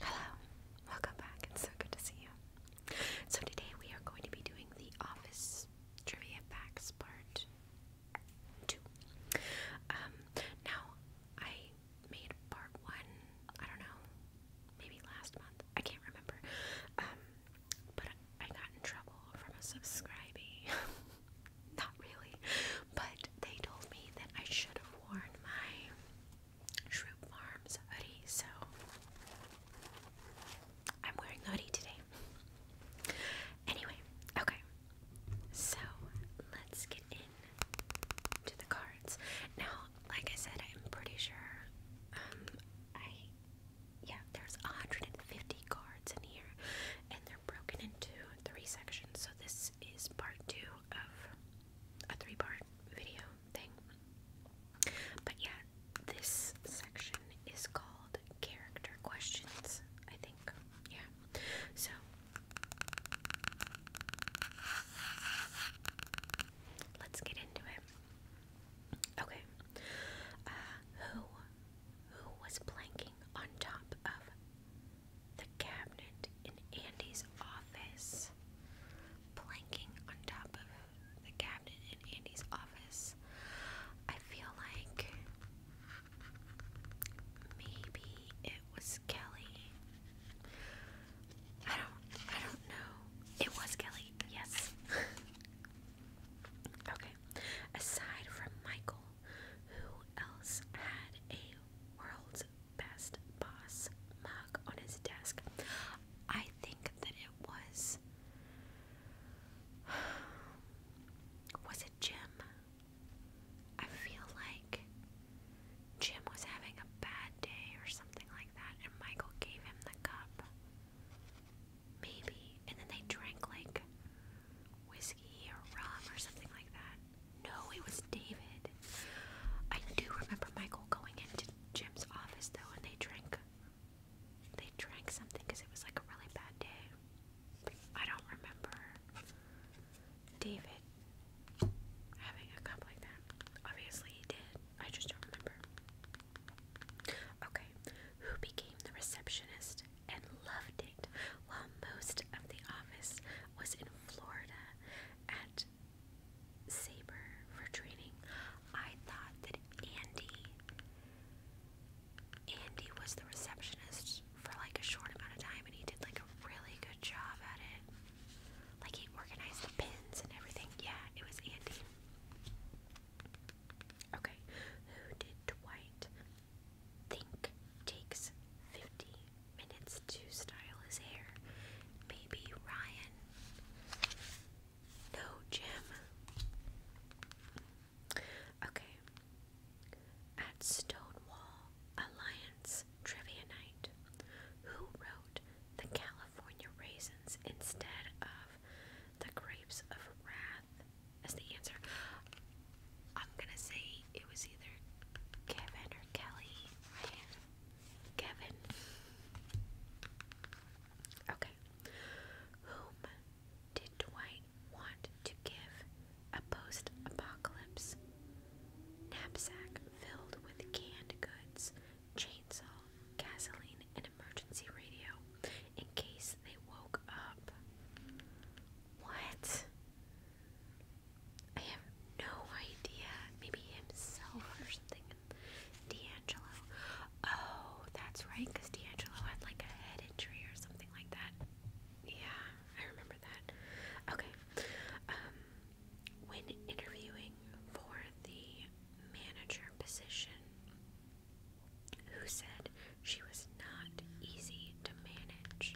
Hello, welcome back. It's so good to see you. So, today we are going to be doing the office trivia facts part two. Um, now, I made part one, I don't know, maybe last month, I can't remember. Um, but I got in trouble from a subscribee. not really, but they told me that I should have worn my Shroop Farms hoodie, so I'm wearing the today. Anyway, okay, so let's get in the cards. Now, like I said, I'm pretty sure um, I yeah, there's 150 cards in here, and they're broken into three sections. So this is part two of a three-part video thing. But yeah, this section is called character questions. I think, yeah. So. Let's get into it. Okay. Uh, who who was planking on top of the cabinet in Andy's office. Planking on top of the cabinet in Andy's office. I feel like maybe it was Kelly. I don't I don't know. It was Kelly. Yes. Okay. Aside from Michael, who else had a world's best boss mug on his desk? I think that it was. Was it Jim? I feel like Jim was having a bad day or something like that, and Michael gave him the cup. Maybe. And then they drank like whiskey or rum or something like that. No, it was David. I do remember Michael going into Jim's office though and they drank they drank something because it was like a really bad day. I don't remember David having a cup like that. Obviously he did. I just don't remember. Okay, who became the receptionist and loved it while most of the office was in Florida at Sabre for training? I thought that Andy Andy was the receptionist for like a short amount of time and he did like a really good job at it. Like he organized the pins and everything. Yeah, it was Andy. Okay, who did Dwight think takes 50 minutes to style his hair? Maybe Ryan? No, Jim. Okay, at Stonewall Alliance Trivia Night, who wrote the California Raisins instead of the grapes of wrath as the answer. I'm gonna say it was either Kevin or Kelly. Kevin. Okay. Whom did Dwight want to give a post apocalypse knapsack filled with canned goods, chainsaw, gasoline, and emergency radio in case they woke up. What? I have no idea. Maybe himself or something. D'Angelo. Oh, that's right, because D'Angelo had like a head injury or something like that. Yeah, I remember that. Okay. Um, when interviewing for the manager position, who said she was not easy to manage.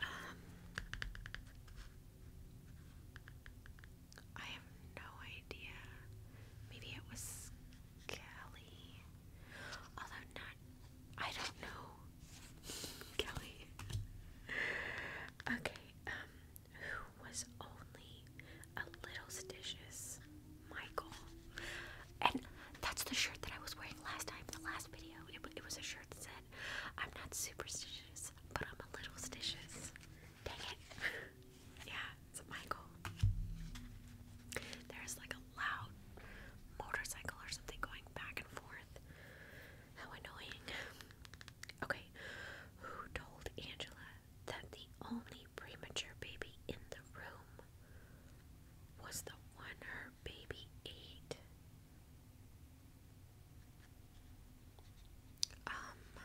Um, I have no idea. Maybe it was Kelly. Although not, I don't know. Kelly. okay, um, who was only a little stitches, Michael. And that's the shirt that I was wearing last time, the last video. It, was a shirt that said, I'm not superstitious, but I'm a little stitches. Dang it. yeah, it's Michael. There's like a loud motorcycle or something going back and forth. How annoying. Okay, who told Angela that the only premature baby in the room was the one her baby ate. Um,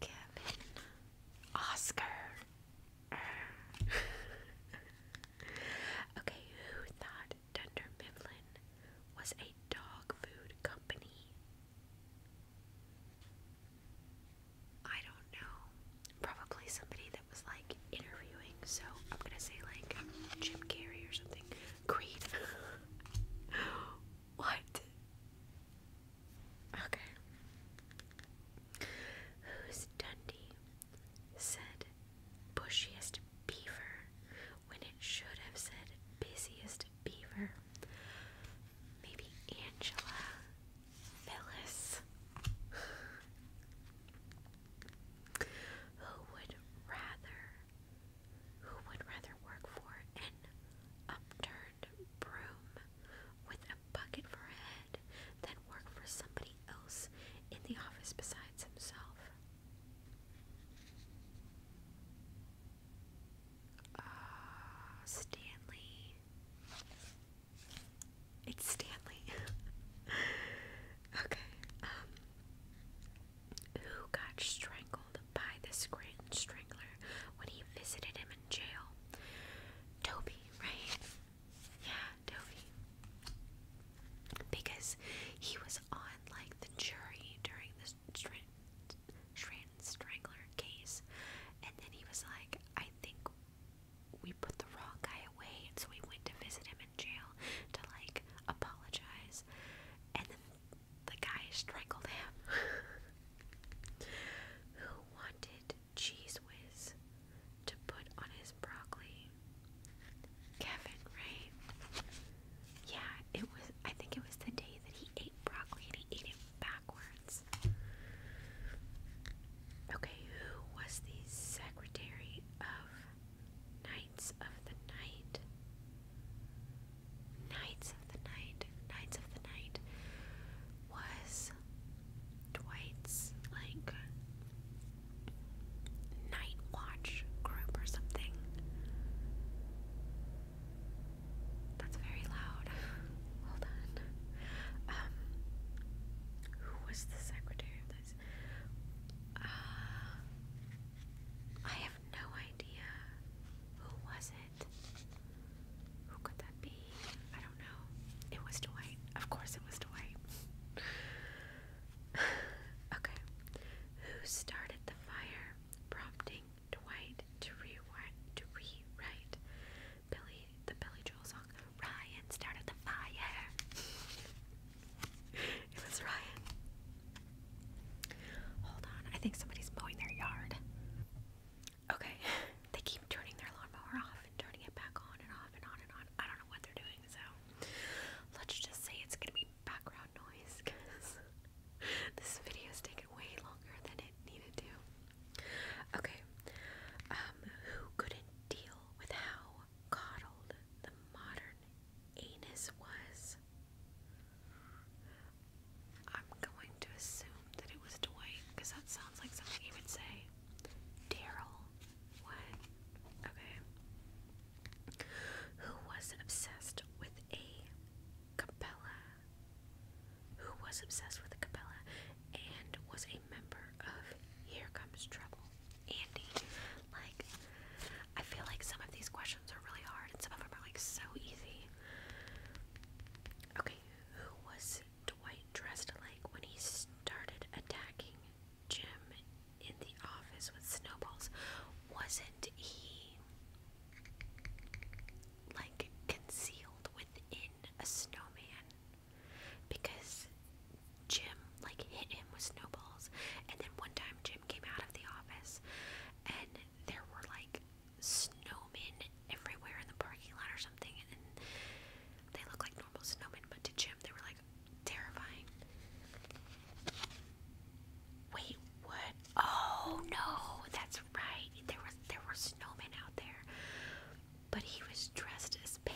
Kevin Oscar. okay, who thought Dunder Mifflin was a dog food company. I don't know. Probably somebody that was like interviewing, so I'm gonna say like Jim Carrey or something. Creed. what? Okay. Who's Dundee? Said bushiest beaver when it should have said busiest Beaver. Maybe Angela. Phyllis. who would rather who would rather work for an upturned broom with a bucket for a head than work for somebody else in the office besides himself? Uh, Stanley. It's Stanley. okay. Um, who got strangled by the Scranton Strangler when he visited him in jail? Toby, right? Yeah, Toby. Because he was on like the jury during the Strand Strangler case. And then he was like, I think we put the wrong guy away. And so we went to visit him in jail to like apologize. And then the guy strangled him. Who wanted Cheese Whiz to put on his broccoli? Kevin, right? Yeah, it was. I think it was the day that he ate broccoli and he ate it backwards. Okay, who was the secretary of Knights of the Night? Knights of the Night. Knights of the Night was Dwight's like night watch group or something. That's very loud. Hold on. Um, who was the secretary of this? Uh, I have no idea. Who was it? Who could that be? I don't know. It was Dwight. Of course, it was Dwight. okay. Who started the fire, prompting Dwight to rewrite to rewrite Billy the Billy Joel song? Ryan started the fire. it was Ryan. Hold on, I think somebody's mowing their yard. Okay, they keep turning their lawnmower off and turning it back on and off and on and on. I don't know what they're doing, so let's just say it's gonna be background noise because this video's taken way longer than it needed to. Okay, um, who couldn't deal with how coddled the modern anus was? I'm going to assume that it was Dwight because that sounds like something he would say. Daryl. What? Okay who was obsessed with a Capella, who was obsessed with a Capella and was a member of Here Comes Trouble. Andy, like, I feel like some of these questions are really hard and some of them are like so easy. Okay, who was Dwight dressed like when he started attacking Jim in the office with snowballs, wasn't he like concealed within a snowman? Because Jim like hit him with snowballs, and then one time Jim came out of the office, and there were like snowmen everywhere in the parking lot or something, and they looked like normal snowmen, but to Jim they were like terrifying. Wait, what? Oh no, that's right. There was there were snowmen out there, but he was dressed as Pam.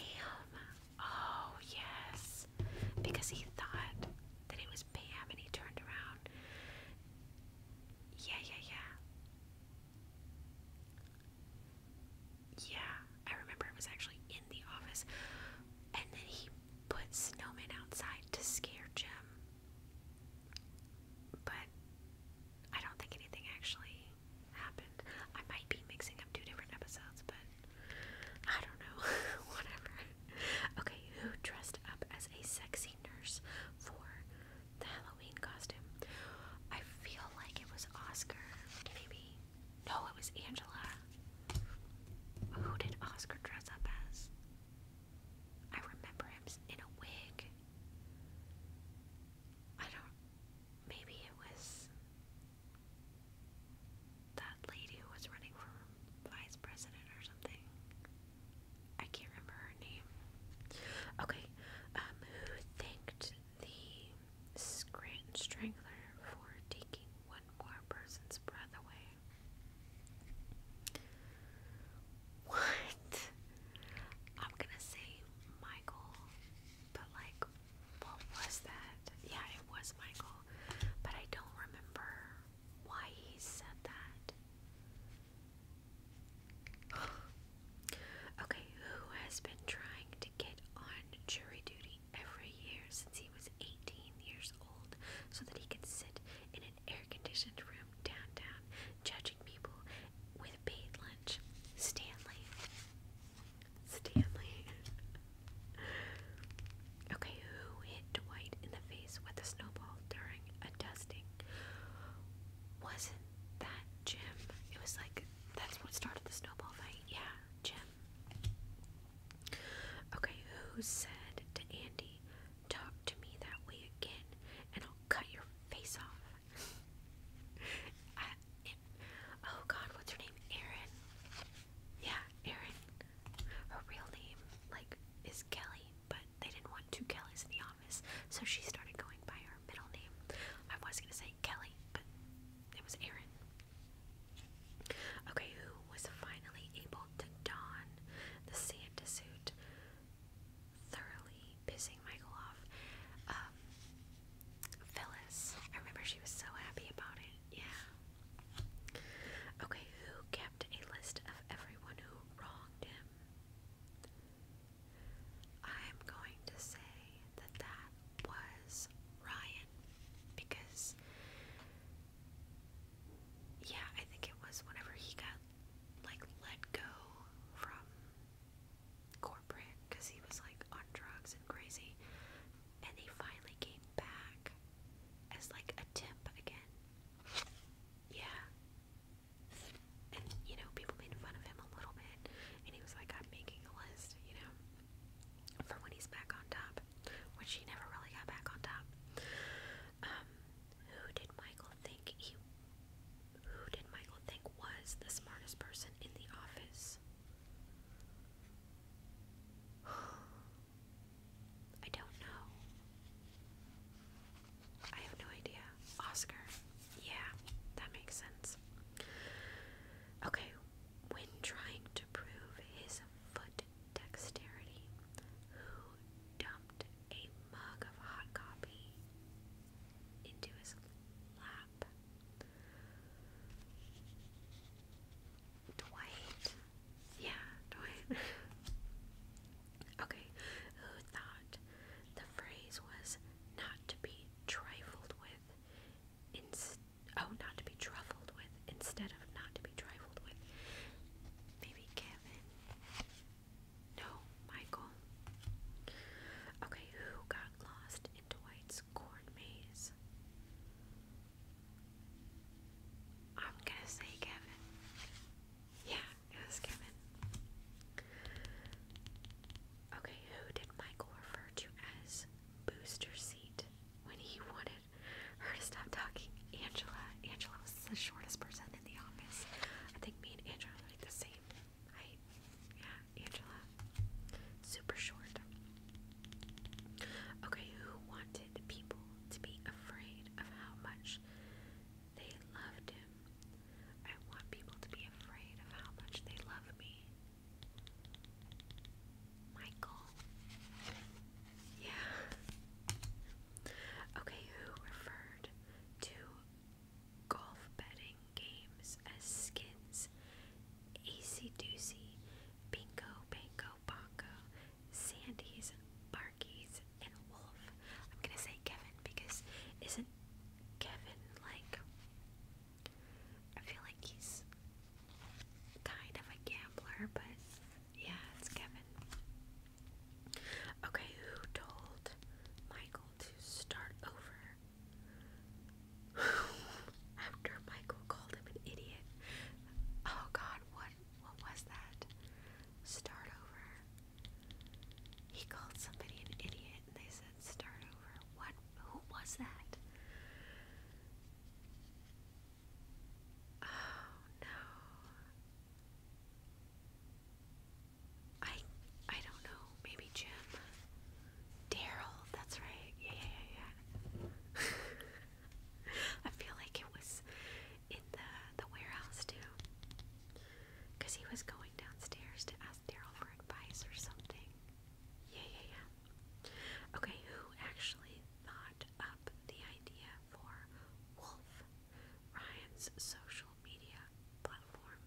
Oh yes, because he thought that it was Pam, and he turned around. Yeah, yeah, yeah. Yeah, I remember it was actually in the office. And then he put snowmen outside to scare Jim. But I don't think anything actually happened. I might be mixing up two different episodes, but I don't know. Whatever. Okay, who dressed up as a sexy nurse for the Halloween costume? I feel like it was Oscar. Maybe no, it was Angela. Who did Oscar dress up as? I remember him in a wig. I don't. Maybe it was that lady who was running for vice president or something. I can't remember her name. Okay, um, who thanked the Scrant Strangler for taking one more person's breath away. What? I'm gonna say Michael, but like, what was that? Yeah, it was Michael, but I don't remember why he said that. okay, who has been trying to get on jury duty every year since he was 18 years old so that he could sit in an air conditioned room downtown judging people with a lunch. Stanley. Stanley. okay, who hit Dwight in the face with a snowball during a dusting? Wasn't that Jim? It was like, that's what started the snowball fight. Yeah, Jim. Okay, who said to Andy, Talk to me that way again, and I'll cut your face off? oh god, what's her name? Erin. Yeah, Erin. Her real name, like, is Kelly, but they didn't want two Kellys in the office, so she started going by her middle name. I was gonna say Kelly, but it was Aaron. Okay, who was finally able to don the Santa suit, thoroughly pissing Michael off? Um, Phyllis. I remember she was so happy about it. Yeah. Okay, who kept a list of everyone who wronged him? I'm going to say that that was Ryan because, yeah, I think it was whenever he got like let go from corporate because he was like on drugs and crazy, and he finally came back as like a temp again. Yeah. And you know, people made fun of him a little bit, and he was like, I'm making a list, you know? for when he's back on top, which he never really got back on top. Um, who did Michael think he? Who did Michael think was the smartest person in the office? I don't know. I have no idea. Oscar. Yeah, that makes sense. Okay, when trying to prove his foot dexterity, who dumped a mug of hot coffee into his lap? Dwight. Yeah, Dwight. okay, who thought the phrase was not to be trifled with inst oh not to be trifled with instead of not to be trifled with. Maybe Kevin. No, Michael. Okay, who got lost in Dwight's corn maze? I'm gonna say Kevin. Yeah, it was Kevin. Okay, who did Michael refer to as booster seat when he wanted her to stop talking? Angela. Angela was the shortest person in the office. I think me and Angela are like the same height. Yeah, Angela. Super short. Okay, who wanted people to be afraid of how much they loved him? I want people to be afraid of how much they love me. Michael. Yeah. Okay, who referred to golf betting games as skins? Acey Doocy, Bingo, Bango, Bongo, Sandy's, Barkies, and Wolf. I'm gonna say Kevin because isn't Kevin like I feel like he's kind of a gambler, but yeah, it's Kevin. Okay, who told Michael to start over? After Michael called him an idiot. Oh god, what what was that? Start over. He called somebody an idiot and they said start over. What who was that? Oh no. I I don't know. Maybe Jim. Daryl, that's right. Yeah, yeah, yeah, yeah. I feel like it was in the the warehouse too. Cause he was going downstairs to ask Daryl for advice or something. Yeah, yeah, yeah. Okay, who actually thought up the idea for Wolf, Ryan's social media platform?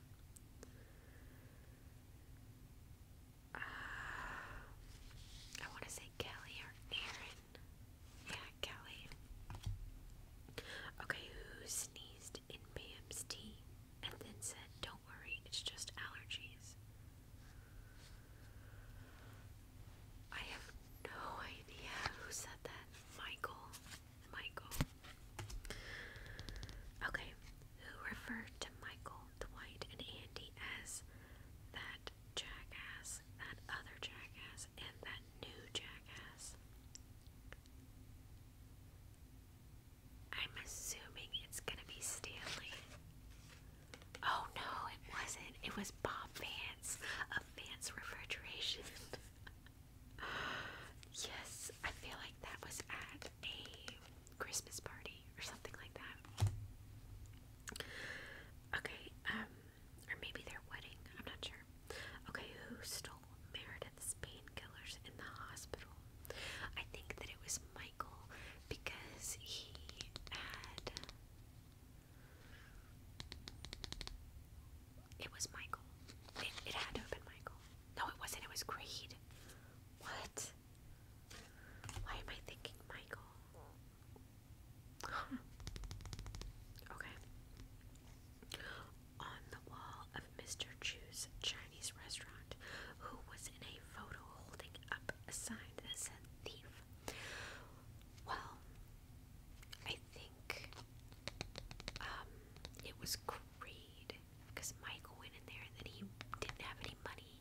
Uh, I want to say Kelly or Aaron. Yeah, Kelly. Okay, who sneezed in Pam's tea? and then said, Don't worry, it's just allergies. I have no idea who said that. Michael. Michael. Okay, who referred to Michael, Dwight, and Andy as that jackass, that other jackass, and that new jackass? I'm assuming it's gonna be Stanley. Oh no, it wasn't. It was Bob Vance of Vance Refrigeration. yes, I feel like that was at a Christmas party or something like that. Okay, um, or maybe their wedding. I'm not sure. Okay, who stole Meredith's painkillers in the hospital. I think that it was Michael because he had. It was Michael. It, had to have been Michael. No, it wasn't. It was Grade. What? Why am I thinking Michael? Okay on the wall of Mr. Chu's Chinese restaurant, who was in a photo holding up a sign that said thief. Well, I think um, it was greed because my went in there and then he didn't have any money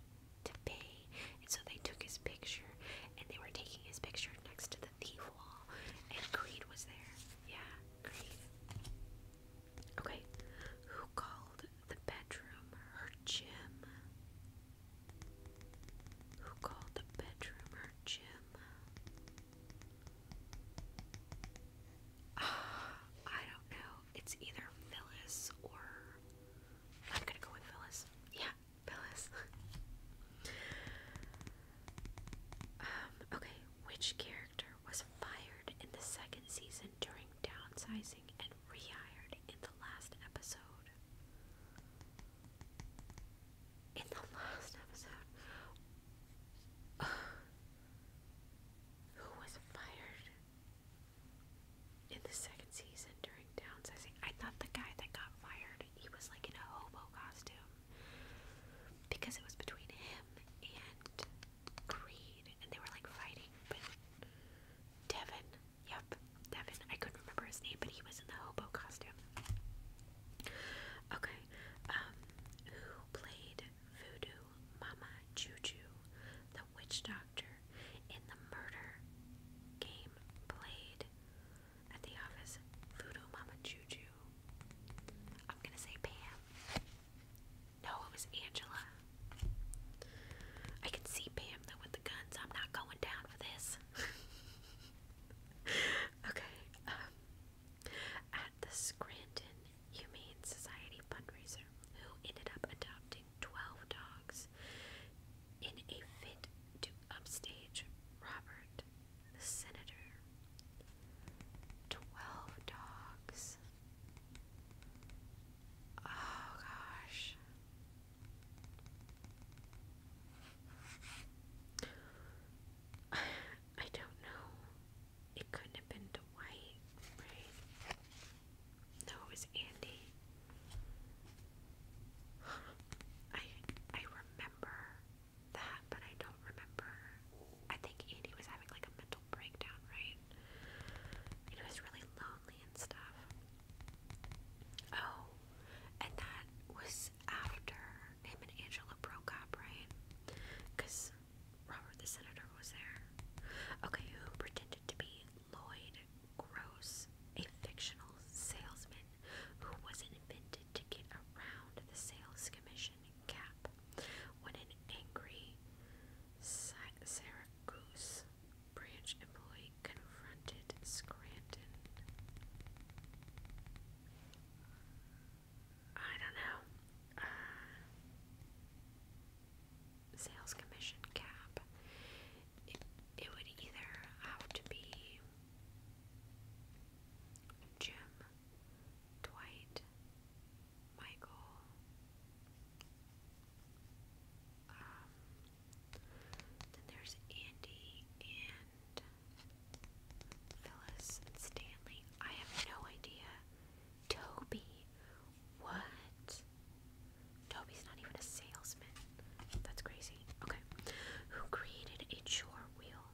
to pay, and so they took his picture and they were taking his picture next to the thief wall, and greed was there. Yeah, greed. Okay, who called the bedroom her gym? Who called the bedroom her gym? Ah, I don't know. It's either Phyllis or I'm gonna go with Phyllis. Yeah, Phyllis. Um, okay, which character was fired in the second season during downsizing and rehired in the last episode? In the last episode? who was fired in the second season during downsizing? I thought the guy that got fired, he was like in a hobo costume because it was between him and Creed, and they were like fighting. But yep, Devin. I couldn't remember his name, but he was in the hobo costume. Okay, um, who played Voodoo Mama Juju, the witch doctor, in the murder game played at the office? Voodoo Mama Juju I'm gonna say Pam. No, it was Angela. I can see Pam though with the guns. I'm not going down for this. okay. Um, at the Scranton Humane Society fundraiser, who ended up adopting 12 dogs in a fit to upstage Robert the senator, twelve dogs. Oh gosh. I don't know. It couldn't have been Dwight, right? No, it was Andy. I I remember that, but I don't remember. I think Andy was having like a mental breakdown, right? And it was really lonely and stuff. Oh, and that was after him and Angela broke up, right? Because Robert the Senator was there. Okay, who pretended to be Lloyd Gross, a fictional salesman who was invented to get around the sales commission cap when an angry Syracuse branch employee confronted Scranton. I don't know. Uh, sales commission cap. it would either have to be Jim Dwight, Michael, um, then there's Andy and Phyllis Stanley. I have no idea. Toby, what? Toby's not even a salesman. That's crazy. Okay. Who created a chore wheel?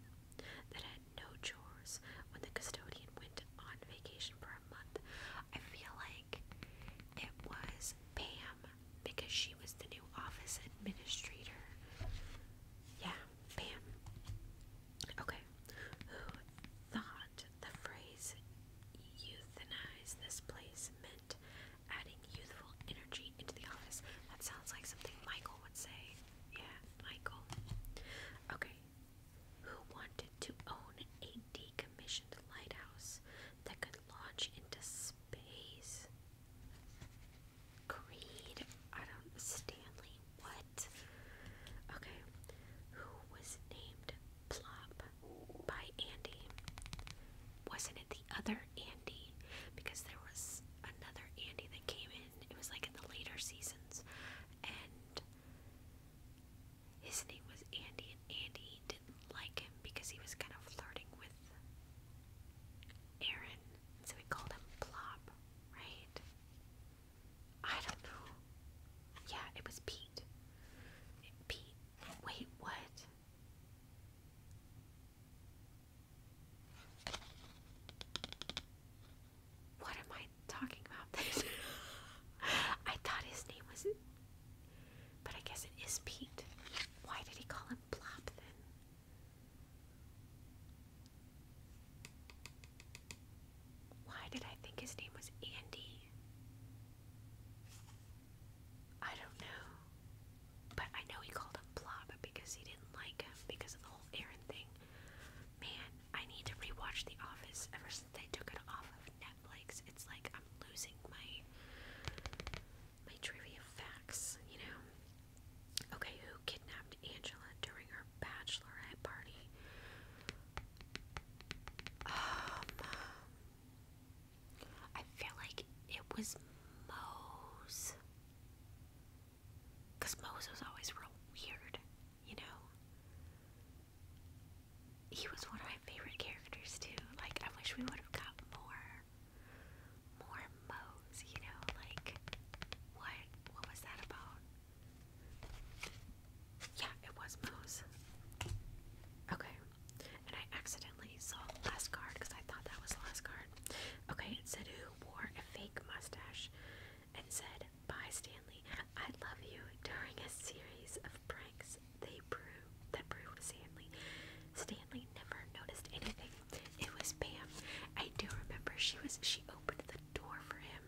that had no chores when the custodian went on vacation for a month. I feel like it was Pam because she was the new office administrator. Yeah, Pam. Okay. Who thought the phrase "youthenize this place meant adding youthful energy into the office? That sounds like something Michael would say. Yeah, Michael. Okay. Who wanted to own a decommissioned lighthouse that could launch into space? Creed. I don't Stanley. What? Okay. Who was named Plop by Andy? Wasn't it the other Andy? Because there was another Andy that came in it was like in the later seasons, and his name was Andy, and Andy didn't like him because he was kind of flirting with Aaron, so we called him Plop, right? I don't know. Yeah, it was Pete. Pete. Wait, what? What am I talking about then? I thought his name was. But I guess it is Pete. Why did he call him Plop then? Why did I think his name was Andy? I don't know. But I know he called him Blob because he didn't like him because of the whole Aaron thing. Man, I need to rewatch The Office ever since they took it off of Netflix. It's like I'm losing my my trivia facts, you know. Okay, who kidnapped Angela during her bachelorette party? Um I feel like it was Mose. Because Moses always real weird, you know? He was one of my favorite characters, too. Like, I wish we would have got more. More Mose, you know? Like, what? What was that about? Yeah, it was Mose. Okay. And I accidentally saw last card because I thought that was last card. Okay, it said who wore a fake mustache and said, Bye Stanley, I love you during a series of pranks they proved that proved Stanley. Stanley never noticed anything. It was Pam. I do remember she was she opened the door for him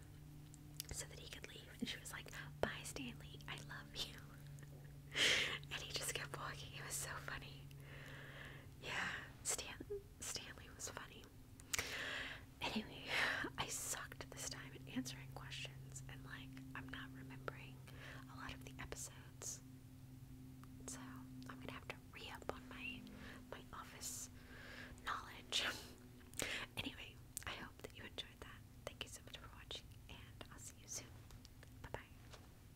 so that he could leave and she was like, Bye Stanley, I love you and he just kept walking. It was so funny. Yeah, Stan Stanley was funny. Anyway, I sucked this time at answering questions, and like I'm not remembering a lot of the episodes, so I'm gonna have to re up on my my office knowledge. anyway, I hope that you enjoyed that. Thank you so much for watching, and I'll see you soon. Bye bye.